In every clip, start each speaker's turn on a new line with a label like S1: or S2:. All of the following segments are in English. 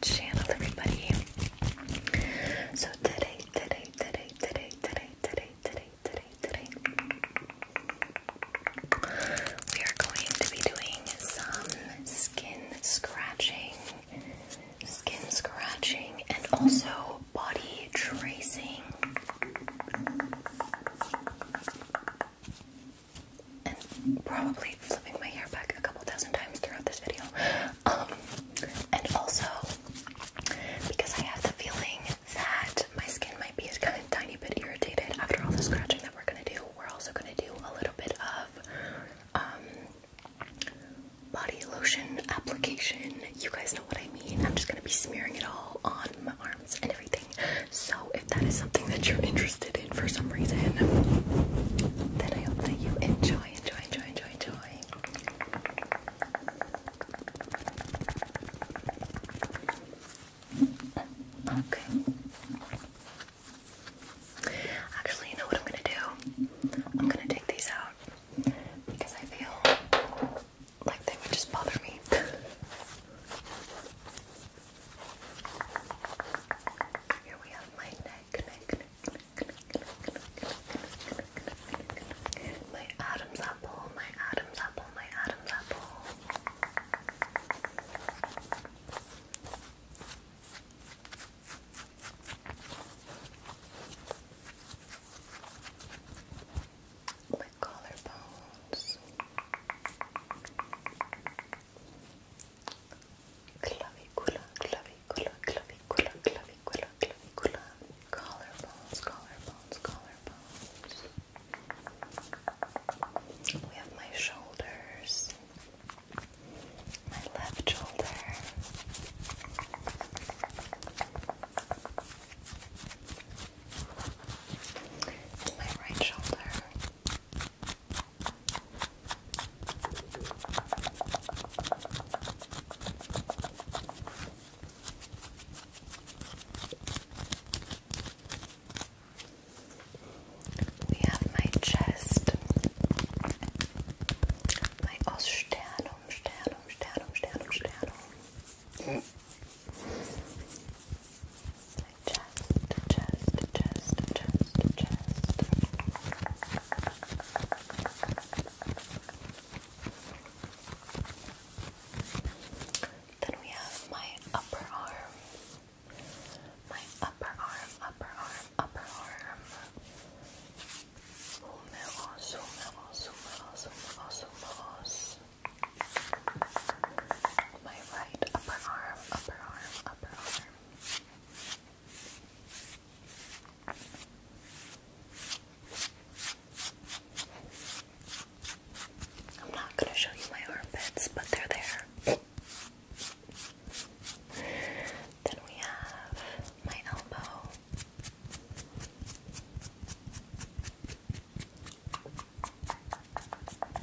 S1: channel, everybody. So today, today, today, today, today, today, today, today, today, we are going to be doing some skin scratching, skin scratching, and also body tracing. And probably flipping my hair back a couple thousand times throughout this video. Um, and also, because I have the feeling that my skin might be a kind of tiny bit irritated after all the scratching that we're gonna do, we're also gonna do a little bit of um, body lotion application. You guys know what I mean. I'm just gonna be smearing it all on my arms and everything. So if that is something that you're interested in for some reason, then I hope that you enjoy, enjoy, enjoy, enjoy, enjoy. Okay. Actually, you know what I'm gonna do? I'm gonna take these out because I feel like they would just bother me. Here we have my neck, neck, my Adam's apple, my Adam's apple, my Adam's apple. My collarbones clavicular, clavicular, clavicular, clavicular, clavicular, collarbones, collarbones, collarbones. We have my shoulders, my left shoulder. My right shoulder, we have my chest, my osternum, sternum, sternum, sternum, sternum. My chest, chest, chest, chest, chest. Then we have my upper arm. My upper arm, upper arm, upper arm. Humillos, humillos, humillos, humillos, humillos. My right upper arm, upper arm, upper arm. I'm not going to show you my armpits, but they're there. then we have my elbow.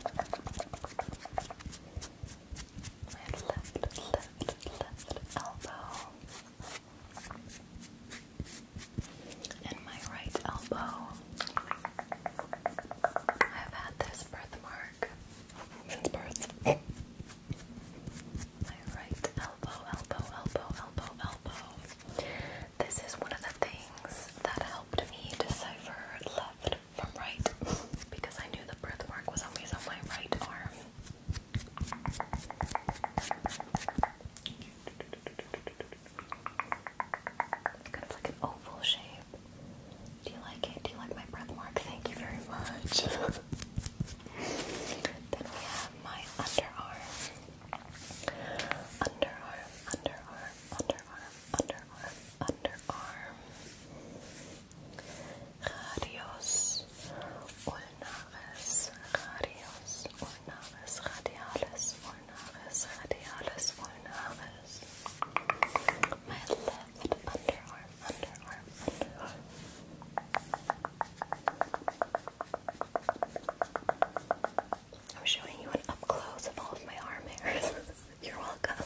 S1: And left, left, left elbow. And my right elbow. I've had this birthmark since birth. my right elbow, elbow, elbow, elbow, elbow. This is one of the things that helped me decipher left from right because I knew the birthmark was always on my right arm kind of like an oval shape. Do you like it? Do you like my breath mark? Thank you very much. then we have my underarm. Underarm, underarm, underarm, underarm, underarm. Radius ulnaris, radius ulnaris, radialis ulnaris, radialis ulnaris. My left underarm, underarm, underarm. I'm showing you an up close of all of my arm hairs. You're welcome.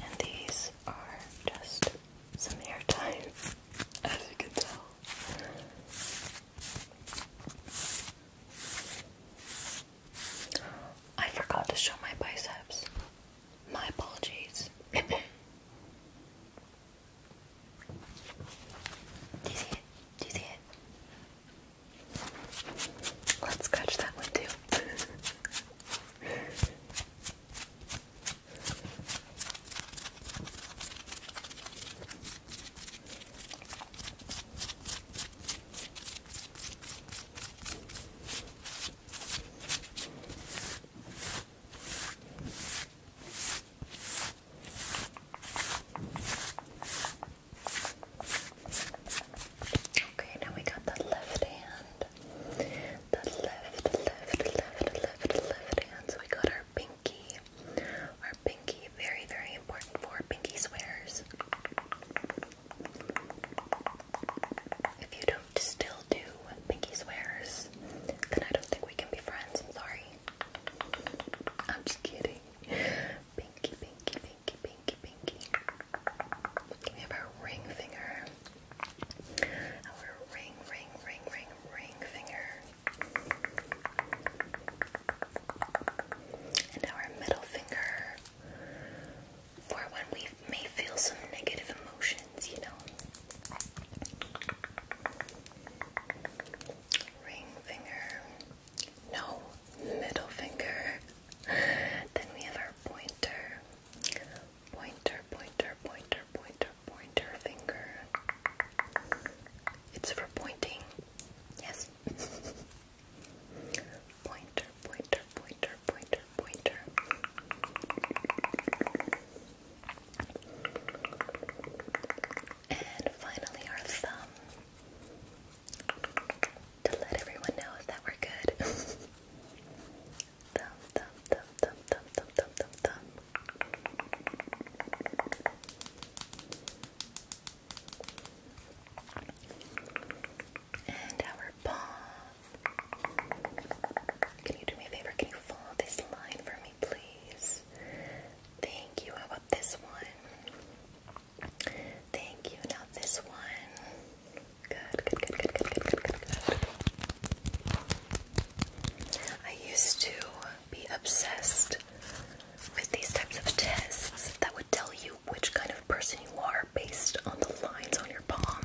S1: And these are just some hair ties, as you can tell. I forgot to show my biceps. My apologies. Do you see it? Do you see it? Let's catch that one too. Okay, now we got the left hand. The left, left, left, left, left hand. So we got our pinky. Our pinky, very, very important for pinky swears. If you don't still do pinky swears, then I don't think we can be friends. sorry. I'm just kidding. Pinky, pinky, pinky, pinky, pinky. We have our ring finger. Our ring, ring, ring, ring, ring finger. And our middle finger. For when we may feel some negative emotions, you know. Ring finger no middle finger. Then we have our pointer, pointer, pointer, pointer, pointer, finger. It's for pointing. Yes. pointer, pointer, pointer, pointer, pointer. And finally, our thumb to let everyone know if that were good. thumb, thumb, thumb, thumb, thumb, thumb, thumb, thumb, And our paw. Can you do me a favor? Can you follow this line for me, please? Thank you. about this one? Thank you. Now this one. Good, good, good, good, good, good, good, good, I used to be obsessed with these types of tests that would tell you which kind of person you are based on the lines on your palm.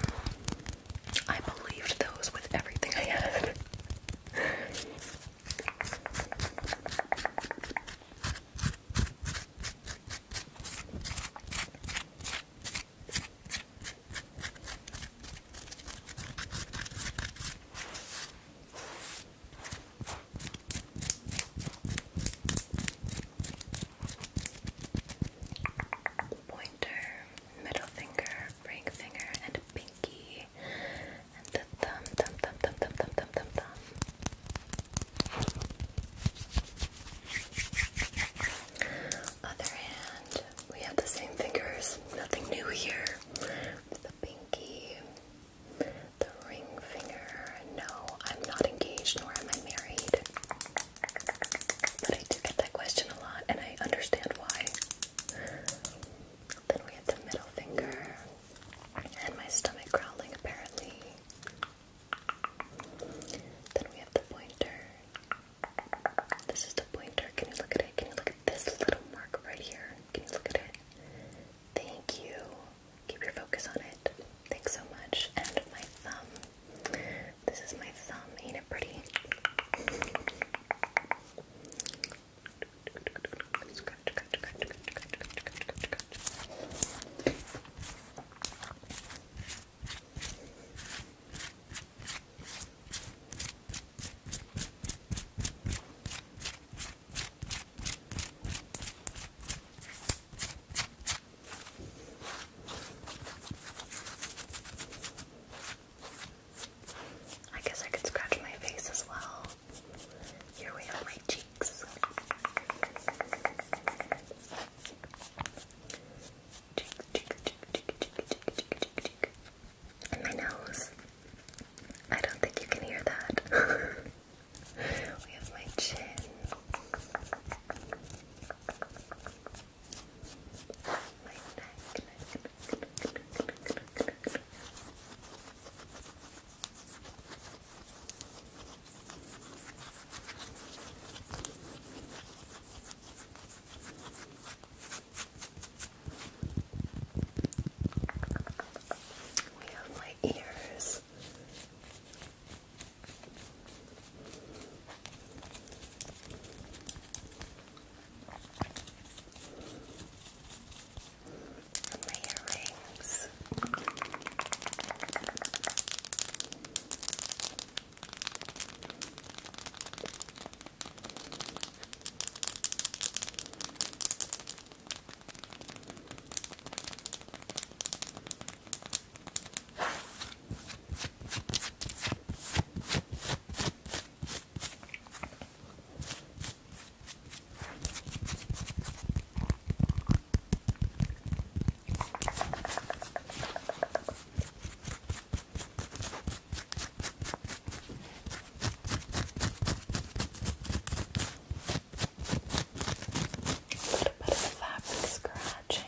S1: I believed those with everything I had. Pointer, middle finger, ring finger, and pinky, and the thumb, thumb, thumb, thumb, thumb, thumb, thumb, thumb, other hand, we have the same fingers, nothing new here. The pinky, the ring finger. No, I'm not engaged nor am I married. But I do get that question a lot and I understand why. Then we have the middle finger and my stomach growling apparently. Then we have the pointer. This is the pointer. Can you look at it? Can you look at this little mark right here? Can you look at it? Thank you. Keep your focus on it. Thanks so much. And my thumb. This is my thumb. Ain't it pretty? I guess I could scratch my face as well. Here we have my cheek cheeks. And my nose. I don't think you can hear that. we have my chin. My neck. We have my ears my earrings little bit of fabric scratching.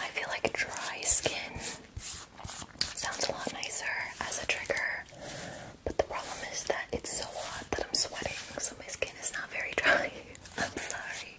S1: I feel like dry skin sounds a lot nicer as a trigger, but the problem is that it's so hot that I'm sweating, so my skin is not very dry. I'm sorry.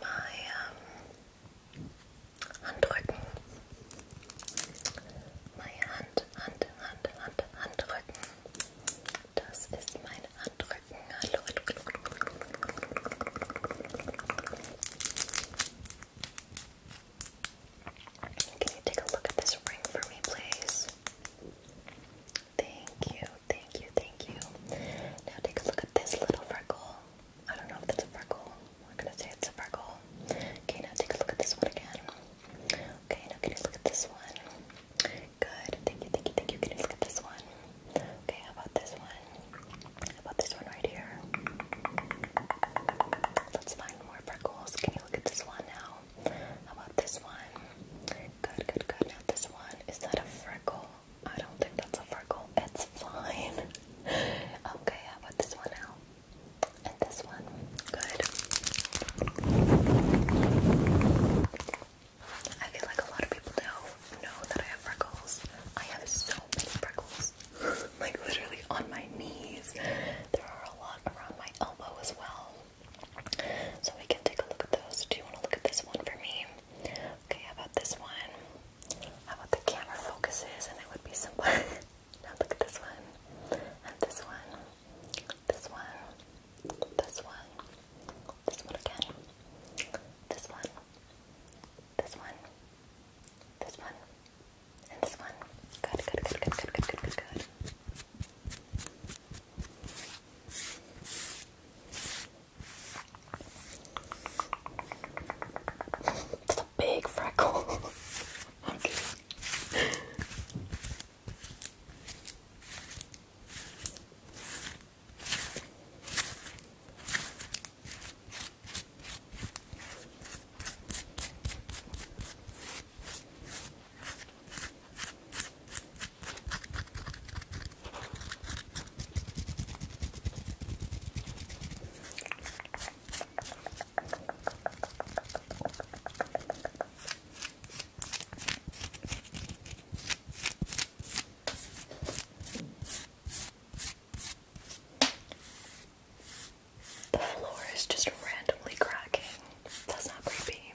S1: my ähm, um, Handrücken, meine Hand, Hand, Hand, Hand, Handrücken. Das ist mein Handrücken. Can you take a look at this ring for me, please? Thank you, thank you, thank you. Now take a look at this little freckle. I don't know if that's a freckle. We're gonna say it's a freckle. Okay, now take a look at this one again. Okay, now can you look at this one? Good. Thank you, thank you, thank you. Can you look at this one? Okay, how about this one? How about this one right here? Let's find more freckles. Can you look at this one now? about this one? Good, good, good. Now this one, is that a freckle? I don't think that's a freckle. It's fine. Okay, about this one now? And this one. Good. I feel like a lot of people do know that I have freckles. I have so many freckles. like literally on my knees. There are a lot around my elbow as well. So we can take a look at those. Do you want to look at this one for me? Okay, how about this one? How about the camera focuses and it would be simpler? now look at this one, and this one, this one, this one, this one again, this one, this one, this one, and this one. Good, good, good, good, good, good, good, good, good. It's a big freckle. okay. The floor is just randomly cracking. That's not creepy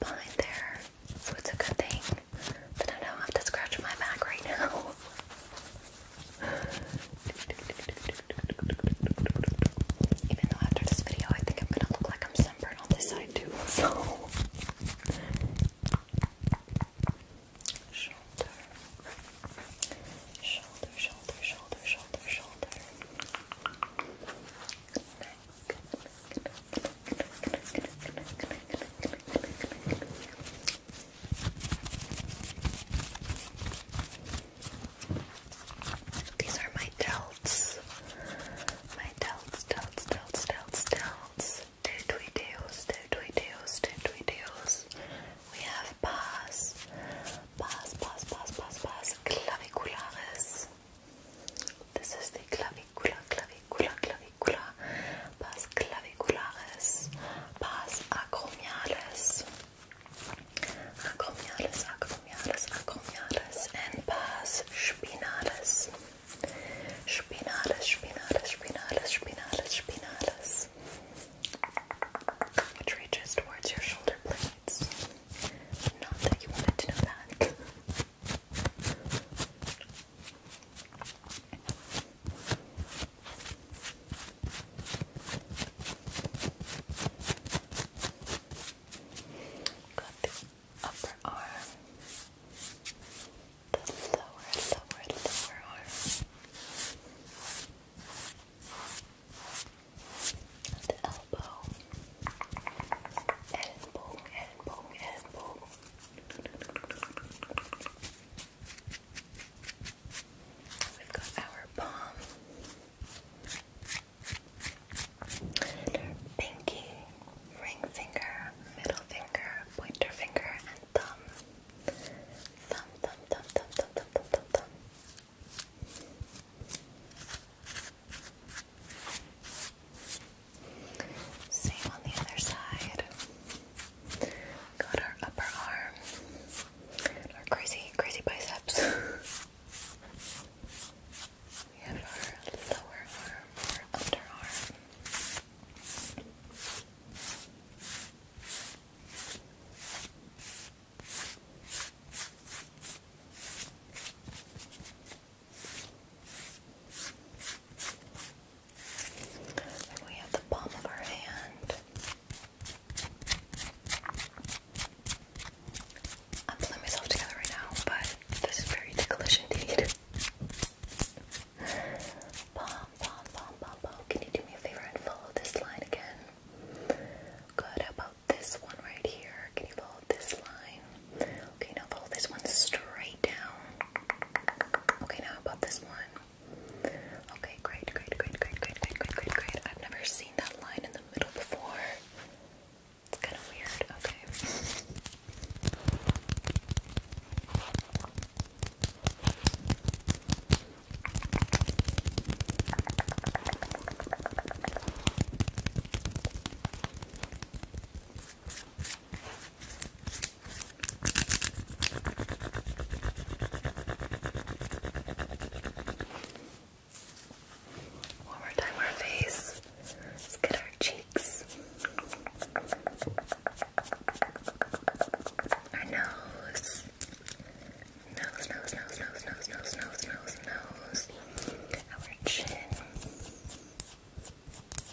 S1: behind there, so it's a good thing that I don't have to scratch my back right now. Even though after this video, I think I'm gonna look like I'm sunburned on this side too. So, shoulder, shoulder, shoulder, shoulder, shoulder, shoulder. These are my delts. My delts, delts, delts, delts, delts. Two twee two twee two twee We have pass, pass, pass, pass, pass, pass, This is the clavicula, clavicula, clavicula clavícula, paz claviculares, paz acromiales, acromiales, acromiales, acromiales, and paz spinales, spinales, spinales, spinales, spinales, spinales, which reaches towards your shoulder blades. Not that you wanted to know that. Got the upper arm, the lower, lower, lower arm, the elbow, elbow, elbow, elbow. We've got our palm, pinky, ring finger, middle finger, pointer finger, and thumb. Thumb, thumb, thumb, thumb, thumb, thumb, thumb, thumb. Same on the other side. Got our upper arm, our crazy, crazy biceps. we have our lower arm, our underarm we have the palm of our hand. I'm pulling myself together right now, but this is very ticklish indeed. Palm, palm, palm, palm, palm. Can you do me a favor and follow this line again? Good. about this one right here? Can you follow this line? Okay, now pull this one straight down. Okay, now about this one. Okay, great, great, great, great, great, great, great, great, great. I've never seen that line in the middle before. It's kind of weird. Okay. One more time, our face. Let's get our cheeks, our nose, nose, nose, nose, nose, nose, nose, nose, nose, our chin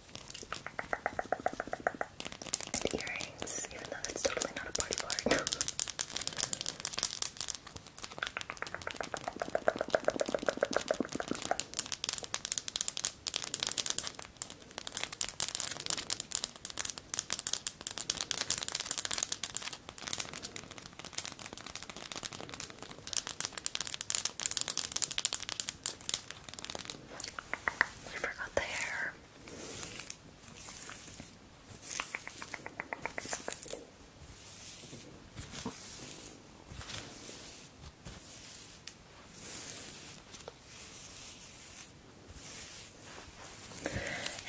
S1: And earrings, even though that's totally not a party part. We forgot the hair.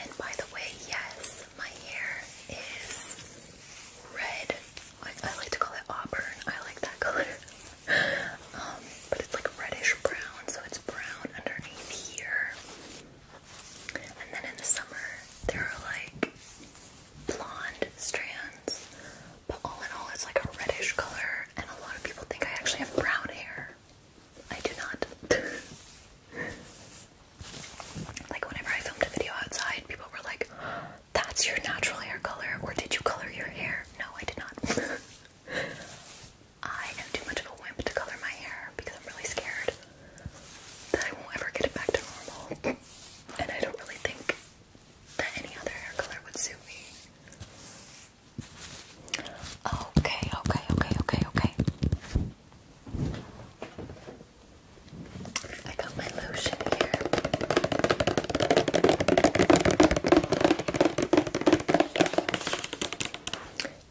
S1: And by the way, yes, my hair is red. I, like to call it auburn. I like that color um, but it's like reddish brown, so it's brown underneath here. And then in the summer, there are like blonde strands, but all in all, it's like a reddish color. And a lot of people think I actually have brown hair. I do not. like, whenever I filmed a video outside, people were like, That's your natural hair color, or did you color your hair? No, I did not. I am too much of a wimp to color my hair because I'm really scared that I won't ever get it back to normal. And I don't really think that any other hair color would suit me. Okay, okay, okay, okay, okay. I got my lotion here.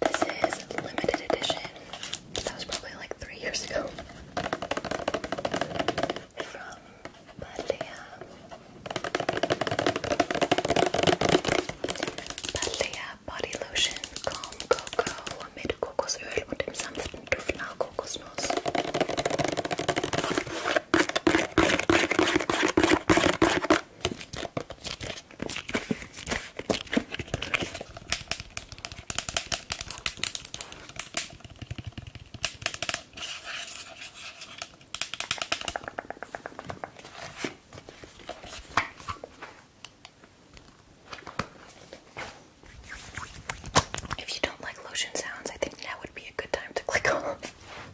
S1: This is limited edition. That was probably like three years ago. From Balea. Balea Body Lotion Calm Cocoa mit Kokosöl und dem sanften Duft nach Kokosnuss. If you don't like lotion sounds, I think now would be a good time to click off.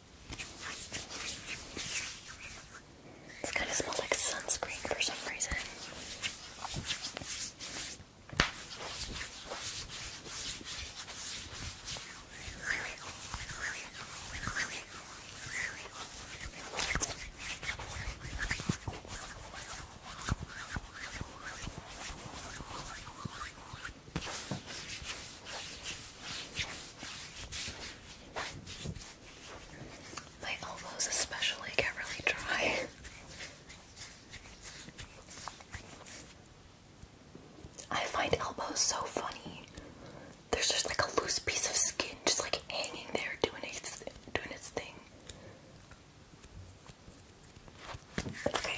S1: This kind of smells like sunscreen for some reason. My elbows especially get really dry. I find elbows so funny. There's just like a loose piece of skin just like hanging there doing its doing its thing. Okay.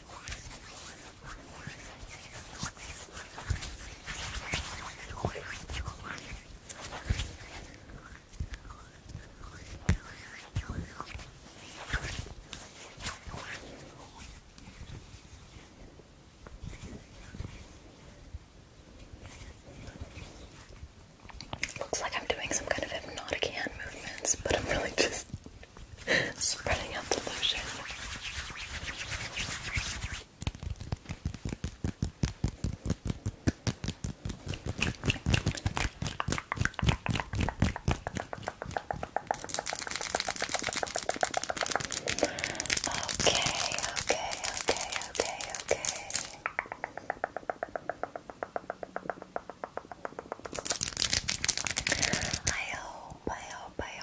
S1: Looks like I'm doing some kind of hypnotic hand movements, but I'm really just Spreading out the lotion. Okay, okay, okay, okay, okay. I hope, I hope, I